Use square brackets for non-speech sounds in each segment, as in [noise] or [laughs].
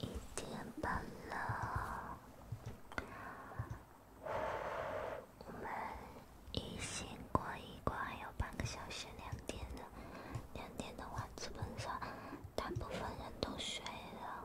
一点半了，我们一醒过一过还有半个小时，两点的，两点的话基本上大部分人都睡了。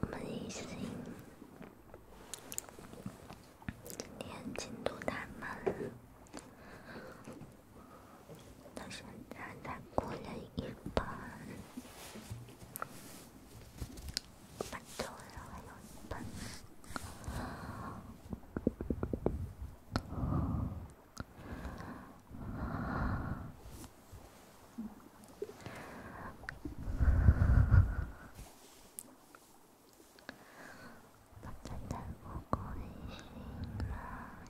我们已经今天进度太慢了，到现在才过了一本，本周还有两本。在德国旅行了，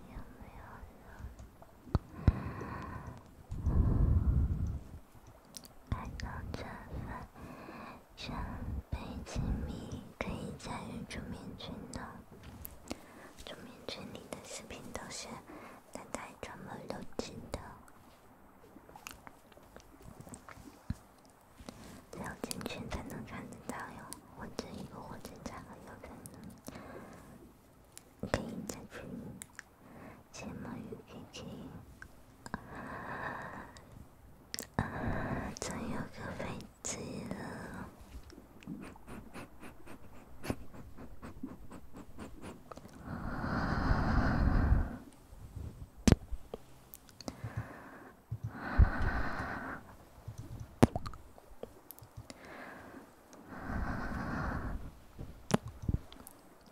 有没有人看到这份上百平米可以参与住面群的？群里的视频都是大家专门录制的，只有进群才能看得到哟。我这一个火车站实，有可能可以加群，加某鱼 K K，真有个飞机了。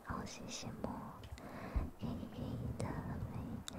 好羡慕你的美。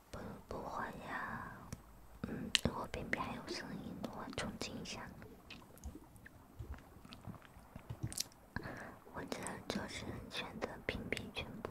不不会呀，嗯，如果边边还有声音的话，重进一下。我这就是选择屏蔽全部。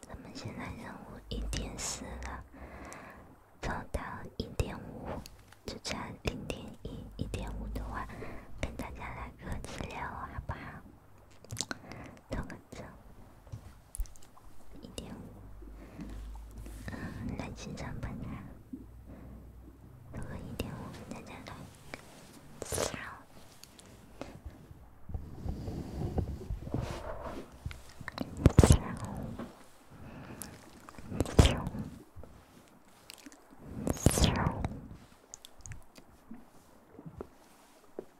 咱们现在任务一点四了，走到一点五，就差零点一。一点五的话，跟大家来个私聊，好不好？听好，一点五。来，再唱一遍啊！再和一点五，再再来。然后，然后，然后。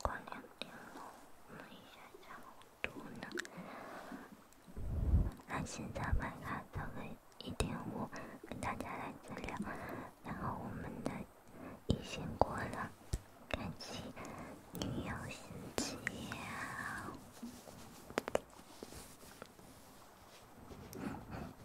过两点了，目前下午多呢。那现在麦卡的为一点五，跟大家来治疗，然后我们的疫情过了，感谢女友心机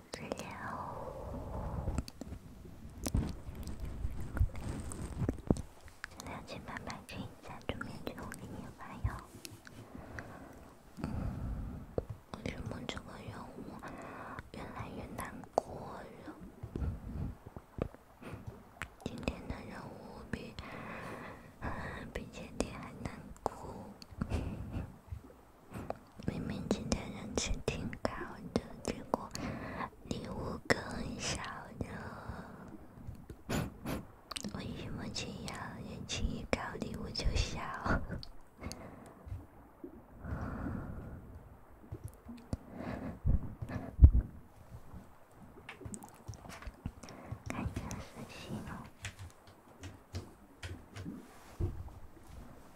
你好，这两天慢慢可以再做面具给你发哟。为什么这个任务越来越难过？今天的任务比比前天还难过。明明今天人气挺高的，结果礼物更少了。我一模一样，人气一高，礼物就少。开 [laughs] 始私信了。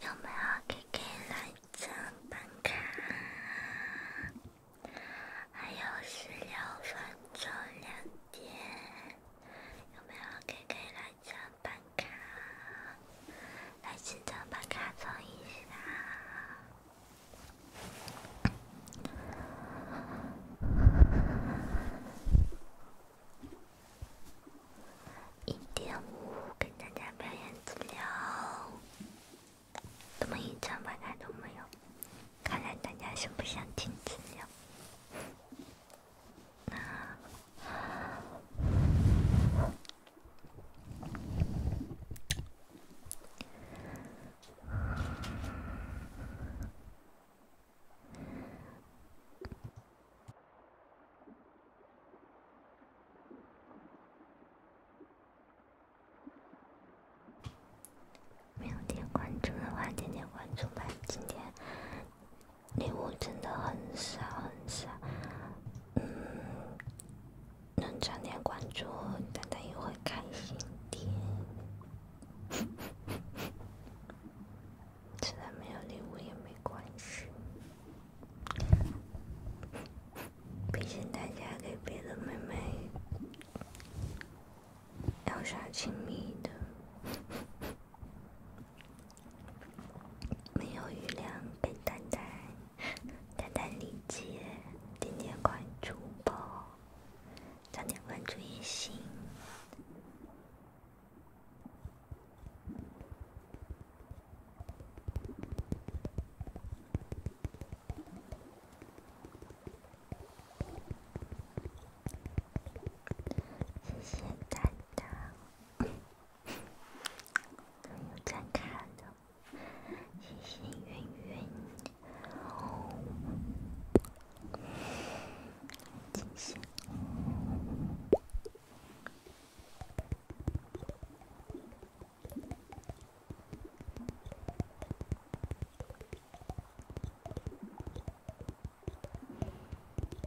有没有给给来张办卡？还有十六分钟两点，有没有 K K 来？奖牌卡，来几张奖卡凑一下。一点五，跟大家表演资料，怎么一张奖卡都没有？看来大家是不想听资料。没有点关注的话，点点关注吧。今天。礼物真的很少很少，嗯，能涨点关注，大家也会开心点。虽然没有礼物也没关系，毕竟大家给别的妹妹要啥亲密的。没有余粮，给丹丹，丹丹理解，点点关注吧，点点关注也行，谢谢丹丹。有在看的，谢谢圆圆，谢谢。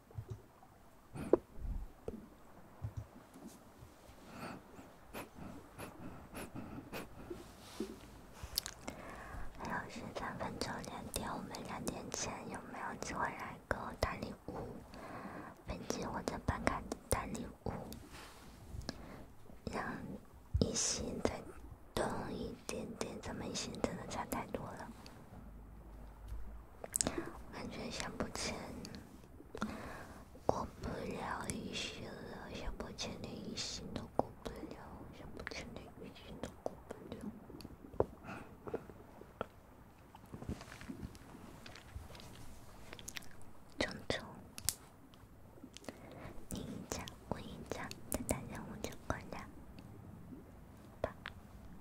还有十三分钟两点，我们两点前有没有机会来个大礼物？本金或者办卡大礼物，让一星再动一点点，咱们一星真的差太多了，完全想不起来。过不了一心了，想不牵连一心都过不了，想不牵连一心都过不了。悄悄，你一张，我一张，这单任务就过了，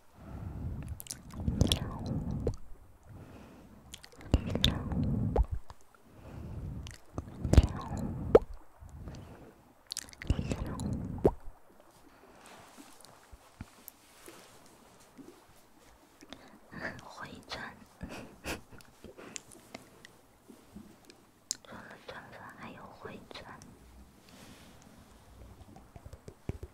[laughs] 回转，除 [laughs] 了钻钻，还有回钻。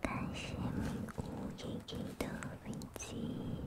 感谢你，乌漆漆的飞机。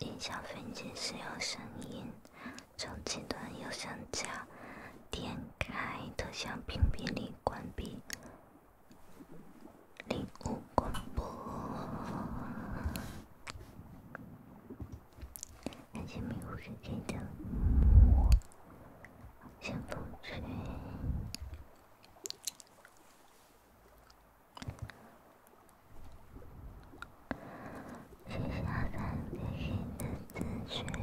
音响分解使用声音，从前端右上角点开头像屏蔽里关闭，零五广播，感谢迷雾世界的，先不吹。写下三点心的字句。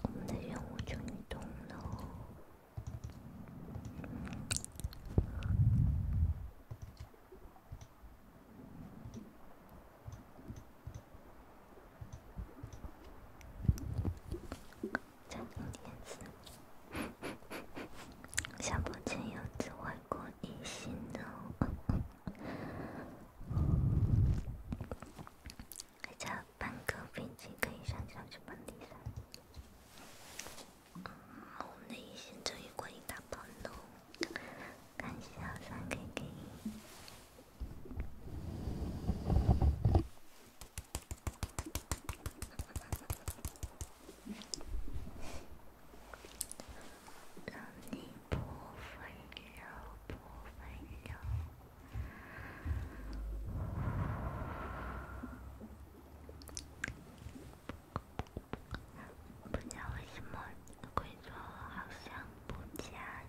我们来用五种运动。加榴莲子，下播前有只外国异性哦，还差半个飞机可以上去到去本地了。我们的异性终于过瘾打喷嚏，感谢三 K K。让你不温柔，不温柔。不加微信吗？规则好像不加。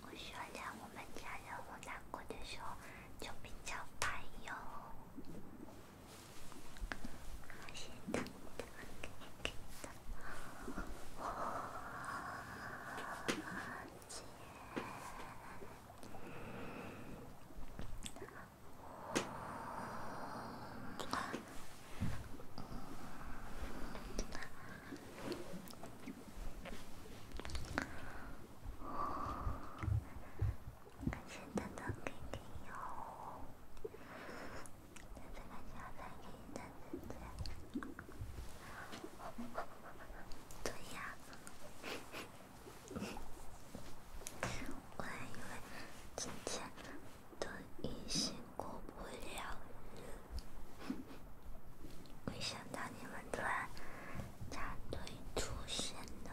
我选择我们家人，我难过的时候就比较烦感谢豆豆给的油，豆豆给的油，豆豆给的油。对呀，我还以为今天。等一心过不了没想到你们突然插队出现了，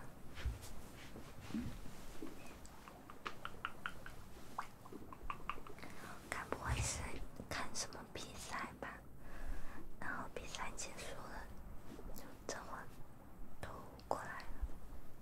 该不会是看什么比赛吧？然后比赛结束了，就这会儿都过来了。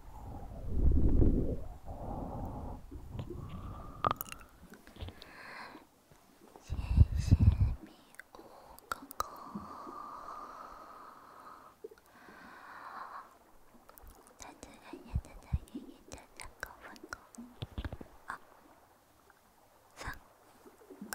谢谢你，五哥哥。在这里等他爷爷的两个哥哥。啊，三个五。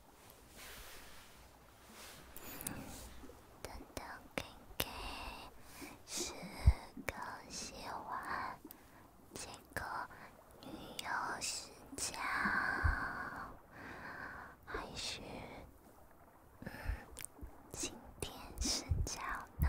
等等，给给，是刚洗完，今个旅游睡觉，还是嗯，今天睡觉呢？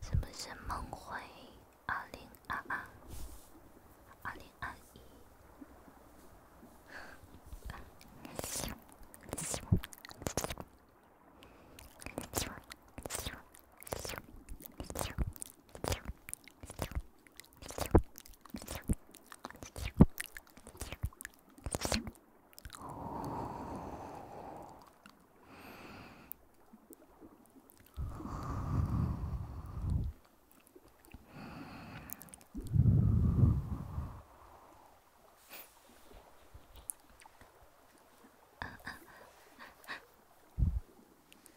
什么是梦回二零二二、二零二一？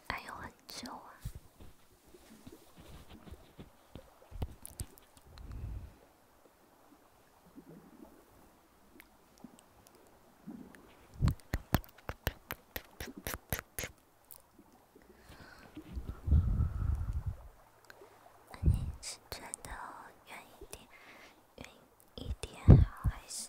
还有很久啊。你是转到远一点，远一点好，还是？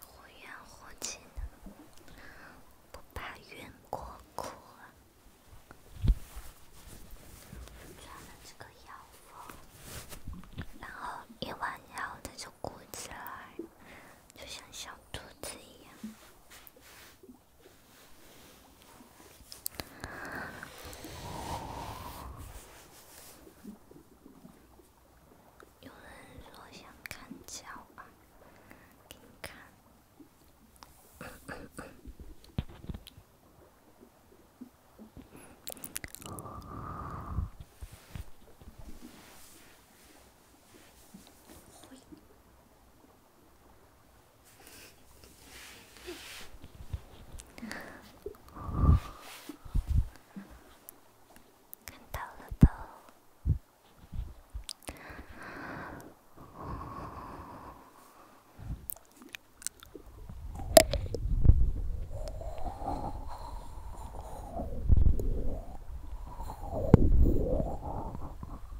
忽远忽近，不怕冤过苦啊！穿了这个腰封，然后一弯腰，再就鼓起来，就像小肚子一样。有人说想看脚吧，给你看。看到了不？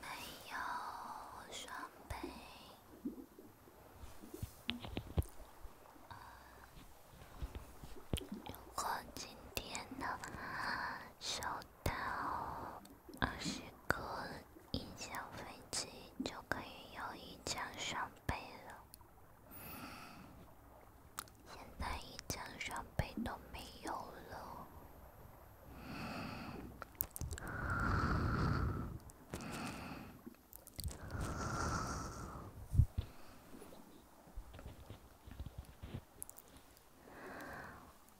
没有双倍。如果今天呢，收到？二十个一架飞机就可以有一架双倍了，现在一架双倍都没有了。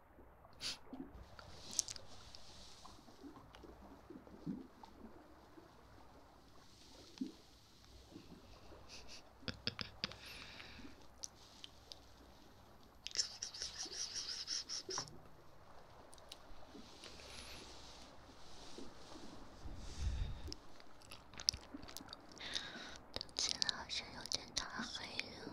听起来好像有点太黑了。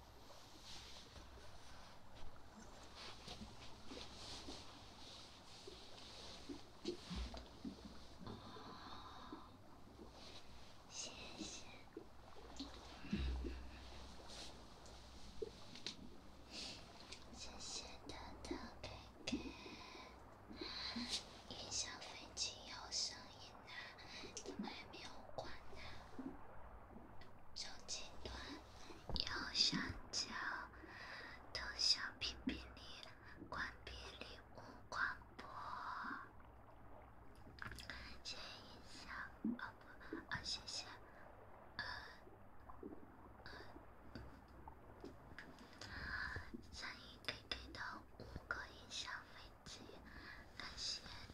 哦，谢谢，谢谢豆豆哥哥。音响背景有声音啊，怎么还没有关啊，就这段。右上角头像屏蔽你，关闭礼物广播，感谢音响，哦，不，哦，谢谢，嗯嗯，三一 K K 的五个音响飞机，感谢。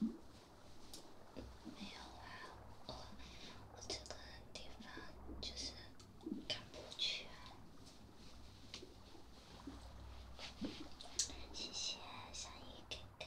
没有啊，我我这个地方就是看不全。谢谢小姨 K K。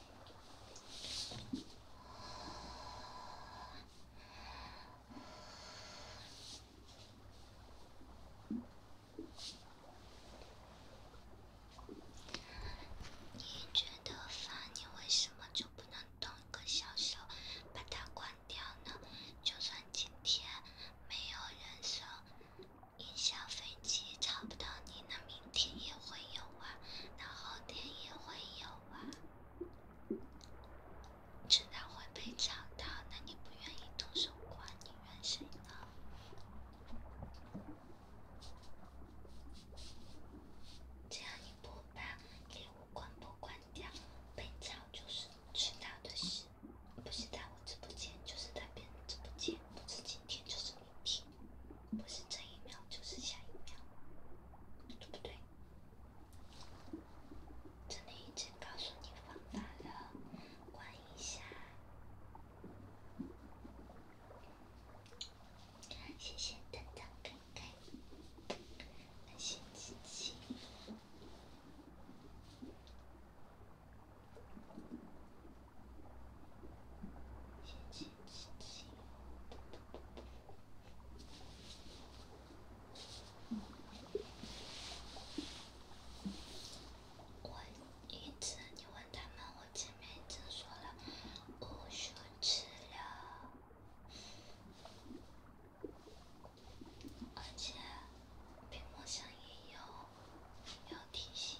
你觉得烦，你为什么就不能动个小手把它关掉呢？就算今天没有人说影响飞机找不到你，那明天也会有啊，那后天也会有啊。知道会被找到，那你不愿意动手管，你怨谁呢？只要你不把礼物关播关掉，被抢就是迟早的事，不是在我直播间，就是在别人直播间，不是今天就是明天，不是这一秒就是下一秒，对不对？这里已经告诉你方法了，关一下。谢谢丹丹哥哥，感谢我一次你问他们，我前面已经说了，我说吃了，而且屏幕上也有，有提醒。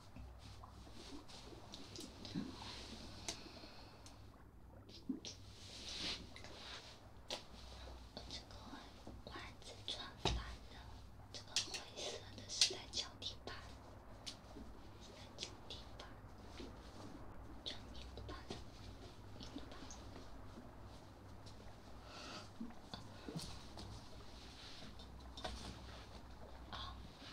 这个袜子穿反了，这个灰色的是在脚底板，是在脚底板，脚底板的，脚底板的，啊啊。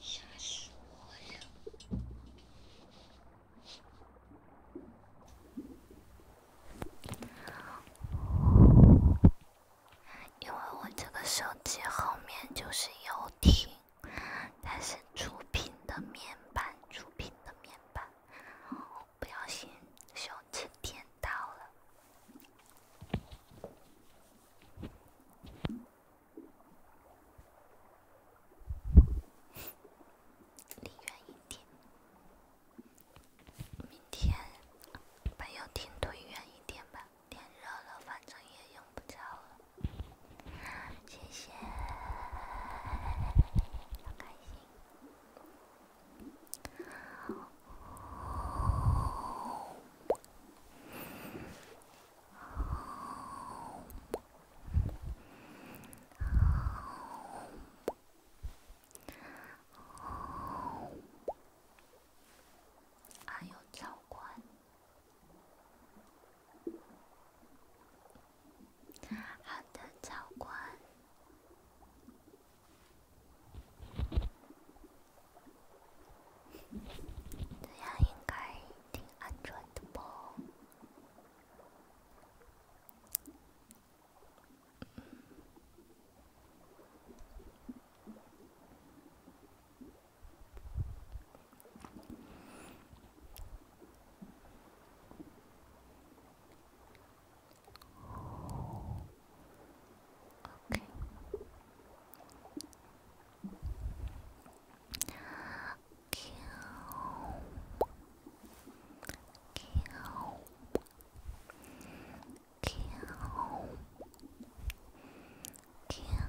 吓因为我这个手机后面就是游艇。它是触屏的面板，触屏的面板。我不小心手机点到了，离远一点。明天把客厅推远一点吧，天热了，反正也用不着了。谢谢，开心。还有教官。好的，教官，这样应该挺安全的吧？Okay. Kill. Kill. Kill. Kill.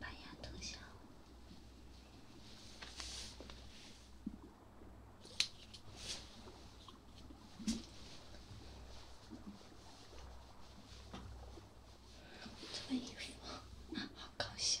板牙头像，这个衣服好搞笑。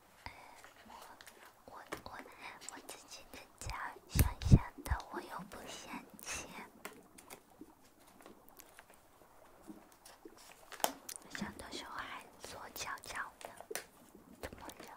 哎，我我我我自己的家，乡下的，我又不嫌弃，想到时候还坐脚脚的，怎么样？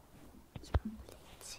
理解。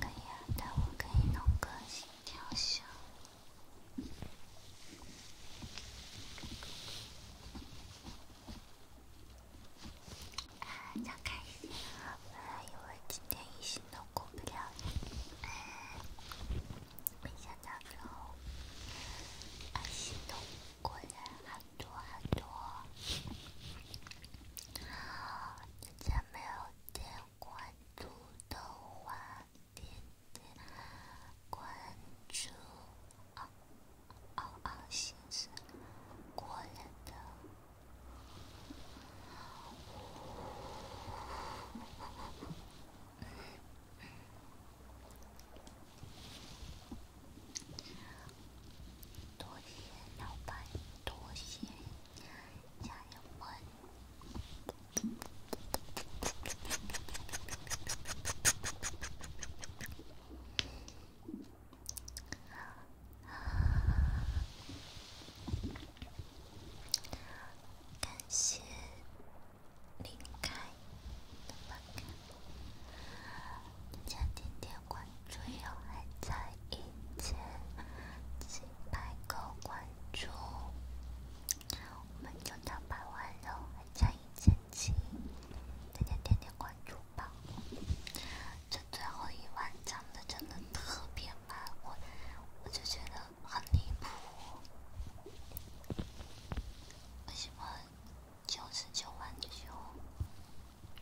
可以啊，但我可以弄个心跳秀。超开心啊！我以为今天一心都过不了，没想到最后一心都过了。朵朵，你还没有点关注的话，点点关注哦哦哦先生，过来的。多谢老板，多谢家人们，感谢离开的朋友大家点点关注，还差一千七百个关注，我们就到百万了，还差一千七，大家点点关注吧。这最后一万涨的真的特别慢，我我就觉得很离谱，为什么九十九万九？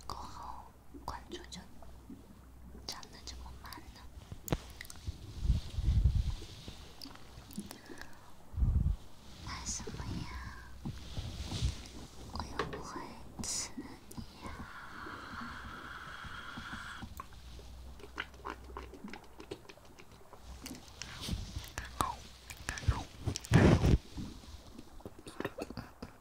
过后，关注就长的这么慢呢？干什么呀？我又不会吃你呀！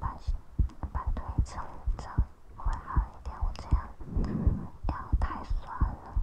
把把腿撑着会好一点，我这样腰太酸了。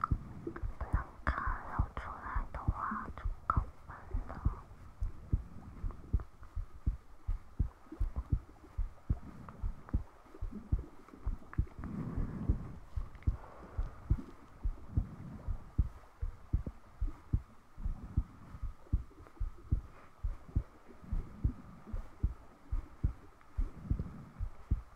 不能看，要出来的话就更烦了。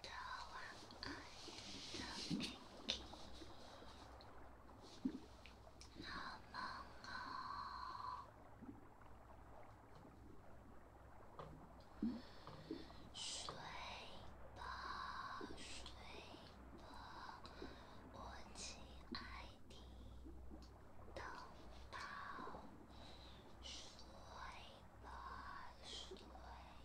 的晚安的安琪，好梦哦，睡吧睡吧，我亲爱的宝宝，睡吧睡。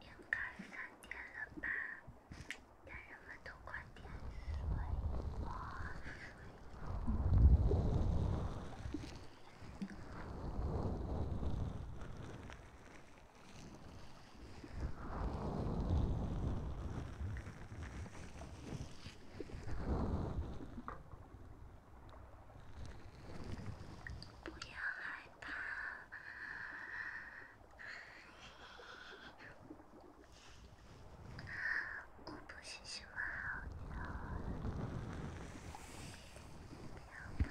应该三点了吧，家人们都快点睡，我睡不要害怕。我不是什么好人，不要告。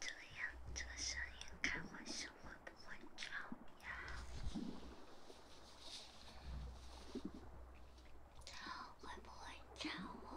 这样这个声音开会会不会吵呀？会不会吵我？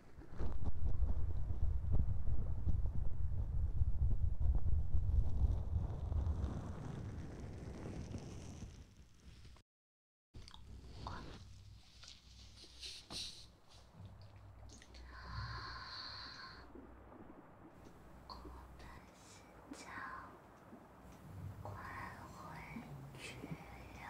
我的心跳快回绝了。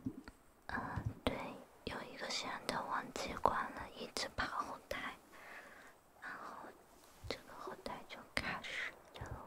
嗯，对，有一个摄像头忘记关了，一直跑后台，然后这个后台就开始了。